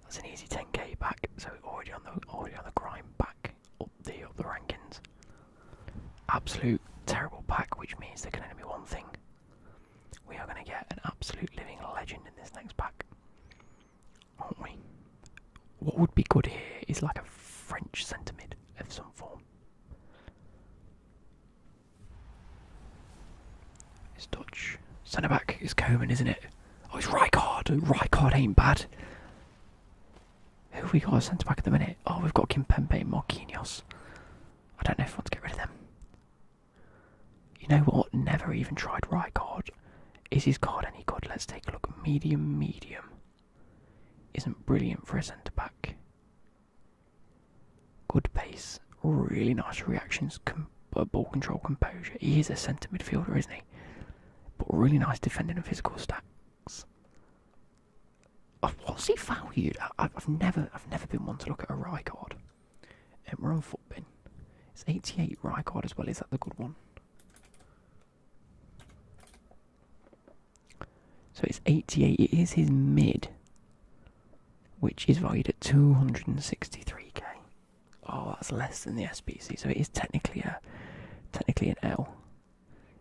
That's an easy 10k back. So we're already on the already on the grind back up the up the rankings. Absolute terrible pack, which means there can only be one thing. We are going to get an absolute living legend in this next pack, aren't we? What would be good here is like a French centre mid of some form. It's Dutch. Centre back It's Coman, isn't it? Oh, it's Rijkaard. Rijkaard ain't bad. Who have we got centre back at the minute? Oh, we've got Kimpembe and Marquinhos. I don't know if I want to get rid of them. You know what? Never even tried Rykard. Is his card any good? Let's take a look. Medium, medium. Isn't brilliant for a centre back. Good pace, really nice reactions, uh, ball control, composure. He is a centre midfielder, isn't he? But really nice defending and physical stats. What's he valued? I, have never, I've never been one to look at a Rycard. Um, we're on Footbin. It's 88 Rycard as well. Is that the good one? So it's 88. It is his mid, which is valued at 263k. Oh, that's less than the SPC. So it is technically a, technically an L.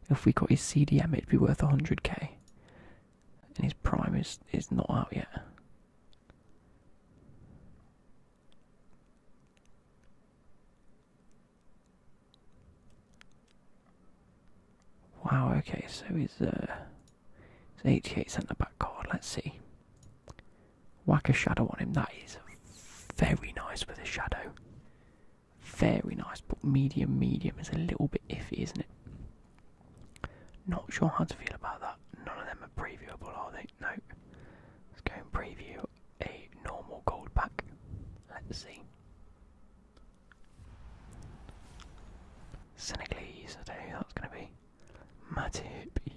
If we got his CDM, it'd be worth 100k and his prime is is not out yet. Wow. Okay, so he's uh, his HK centre back card. Let's see. Whack a shadow on him. That is very nice with a shadow. Very nice, but medium, medium is a little bit iffy, isn't it? Not sure how to feel about that. None of them are previewable, are they? No. Let's go and preview a normal gold pack. Let's see. Senegalese, I don't know who that's going to be. Matty hippie.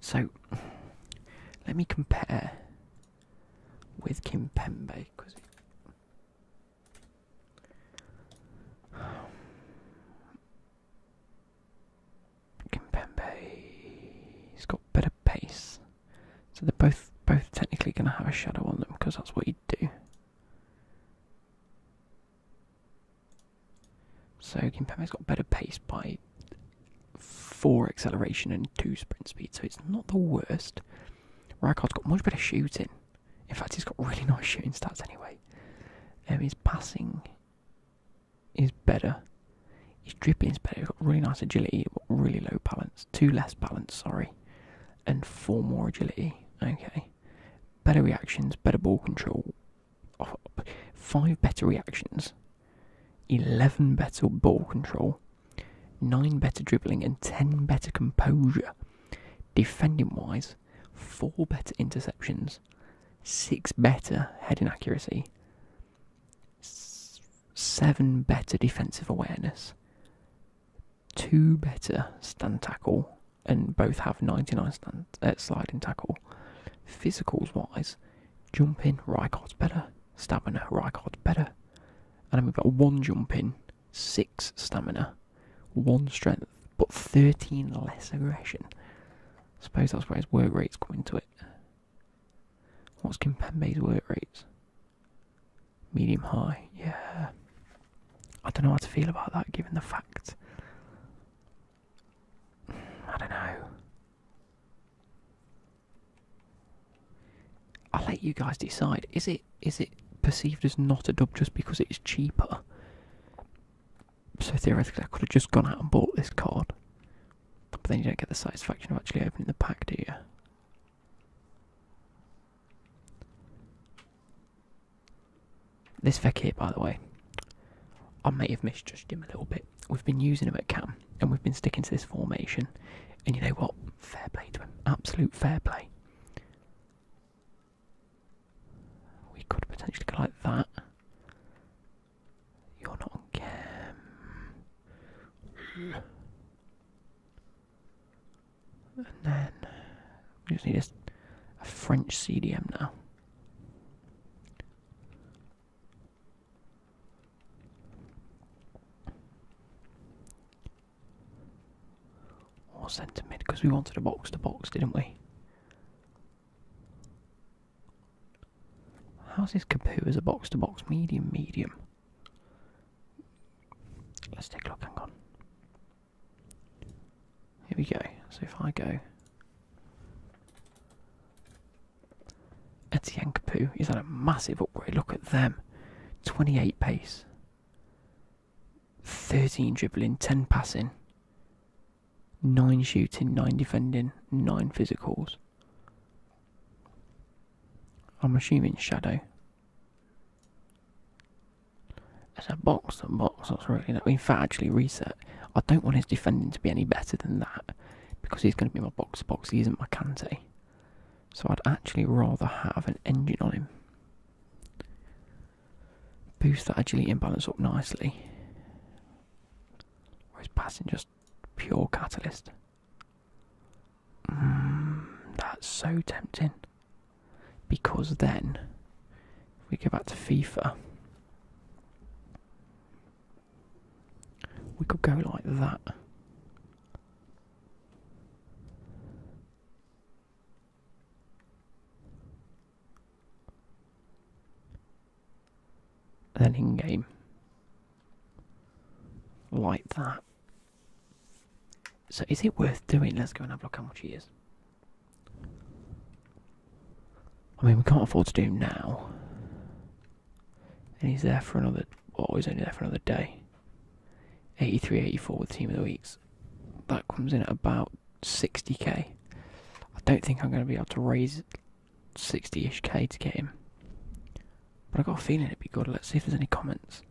So, <laughs> let me compare with Kimpembe, because Kimpembe, he's got better pace, so they're both both technically going to have a shadow on them because that's what you do. So Kimpembe's got better pace by four acceleration and two sprint speed, so it's not the worst. Rijkaard's got much better shooting. In fact, he's got really nice shooting stats anyway. Um, his passing is better. His dribbling is better. He's got really nice agility, really low balance. Two less balance, sorry, and four more agility. Okay, better reactions, better ball control. Oh, five better reactions, eleven better ball control, nine better dribbling, and ten better composure. Defending wise, four better interceptions, six better heading accuracy, seven better defensive awareness, two better stand tackle, and both have 99 stand, uh, sliding tackle. Physicals wise, jump in Rykott's better, stab in Rykott's better. And then we've got one jump in six stamina, one strength, but thirteen less aggression. I suppose that's where his work rates come into it. What's Kimpembe's work rates? Medium high, yeah. I don't know how to feel about that given the fact. I don't know. I'll let you guys decide. Is it is it perceived as not a dub just because it's cheaper? So theoretically, I could have just gone out and bought this card, but then you don't get the satisfaction of actually opening the pack, do you? This here, by the way, I may have misjudged him a little bit. We've been using him at Cam, and we've been sticking to this formation. And you know what? Fair play to Absolute fair play. We could potentially go like that. You're not on cam. And then we just need a, a French CDM now. Or centre mid because we wanted a box to box, didn't we? How's this Capu as a box to box? Medium, medium. Let's take a look, hang on. Here we go. So if I go. Etienne Kapu, he's had a massive upgrade? Look at them. 28 pace. 13 dribbling, 10 passing, 9 shooting, 9 defending, 9 physicals. I'm assuming shadow. It's a box, a box, that's really that. In fact, actually, reset. I don't want his defending to be any better than that because he's going to be my box box. He isn't my Kante. So I'd actually rather have an engine on him boost that agility imbalance up nicely. Or passing just pure catalyst? Hmm, that's so tempting. Because then, if we go back to FIFA, we could go like that. Then in game. Like that. So is it worth doing? Let's go and have a look how much he is. I mean, we can't afford to do him now. And he's there for another. Well, oh, he's only there for another day. 83 84 with Team of the Week that comes in at about 60k. I don't think I'm going to be able to raise 60 ish k to get him. But i got a feeling it'd be good. Let's see if there's any comments.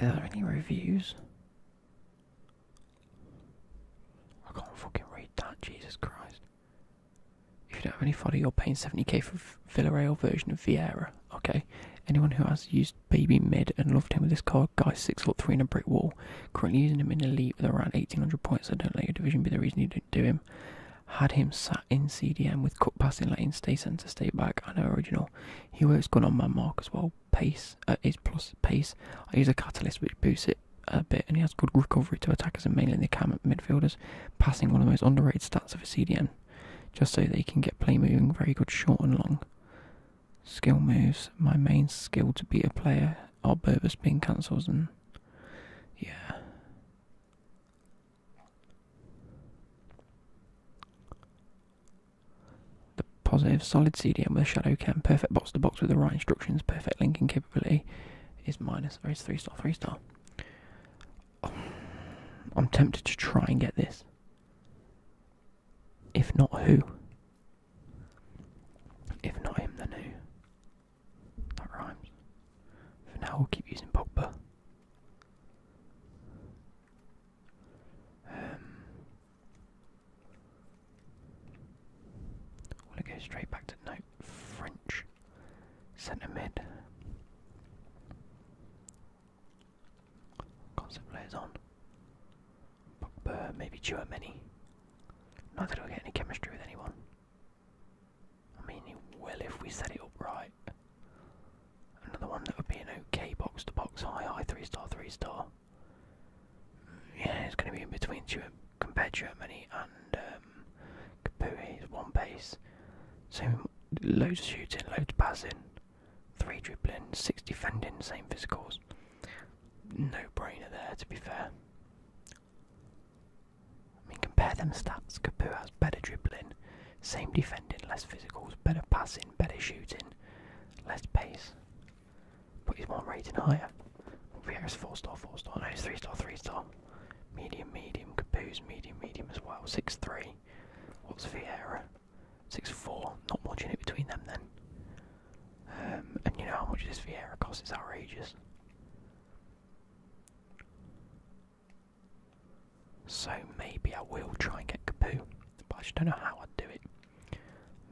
Are there any reviews? I can't fucking read that, Jesus Christ. If you don't have any fodder, you're paying 70k for Villarreal version of Vieira. Okay, anyone who has used baby mid and loved him with this card. Guy six foot three and a brick wall. Currently using him in elite with around eighteen hundred points. So don't let your division be the reason you don't do him. Had him sat in CDM with cut passing, letting stay centre, stay back. I know original. He works good on my mark as well. Pace uh, is plus pace. I use a catalyst which boosts it a bit, and he has good recovery to attackers and mainly the cam midfielders. Passing one of the most underrated stats of a CDM, just so they can get play moving very good short and long skill moves. My main skill to beat a player are Berber spin cancels and yeah. The positive solid CDM with a shadow cam, perfect box to box with the right instructions, perfect linking capability is minus or is three star three star. I'm tempted to try and get this. If not who? If not him, then who? That rhymes. For now, we'll keep using Pogba. Um, well, to go straight back to no French centre mid. Constant players on. Pogba, uh, maybe Many. Not that he'll get any chemistry with anyone. I mean, he will if we set it up right. Another one that would be an okay box to box, high, high, 3 star, 3 star. Yeah, it's going to be in between two compared Germany and um, one pace. So loads of shooting, loads of passing. Three dribbling, six defending, same physicals. No brainer there, to be fair. I mean, compare them stats. Kapu has better dribbling, same defending, less physicals, better passing, better shooting, less pace. But he's one rating higher. Vieira's four star, four star. No, he's three star, three star. Medium, medium. Kapu's medium, medium as well. Six three. What's Vieira? Six four. Not much in it between them then. Um, and you know how much this Vieira costs? It's outrageous. So maybe I will try and get Capu, but I just don't know how I'd do it.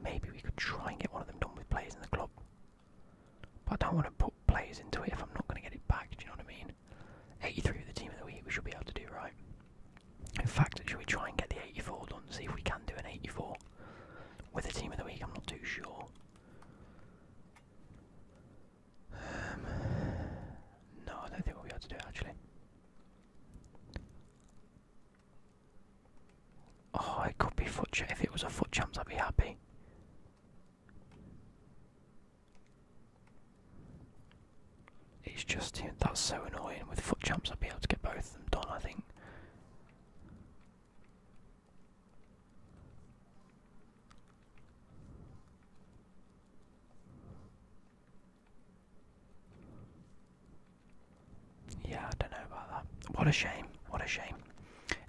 Maybe we could try and get one of them done with players in the club. But I don't want to put players into it if I'm not going to get it back, do you know what I mean? 83 with the team of the week, we should be able to do right. In fact, should we try and get the 84 done? See if we can do an 84 with the team of the week. I'm not too sure. Um, no, I don't think we'll be able to do it actually. Oh, it could be foot. If it was a foot champs, I'd be happy. It's just that's so annoying. With foot jumps, I'd be able to get both of them done. I think. Yeah, I don't know about that. What a shame. What a shame.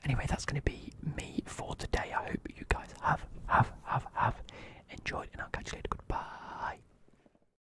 Anyway, that's going to be me for today. I hope you guys have, have, have, have enjoyed, and I'll catch you later. Goodbye.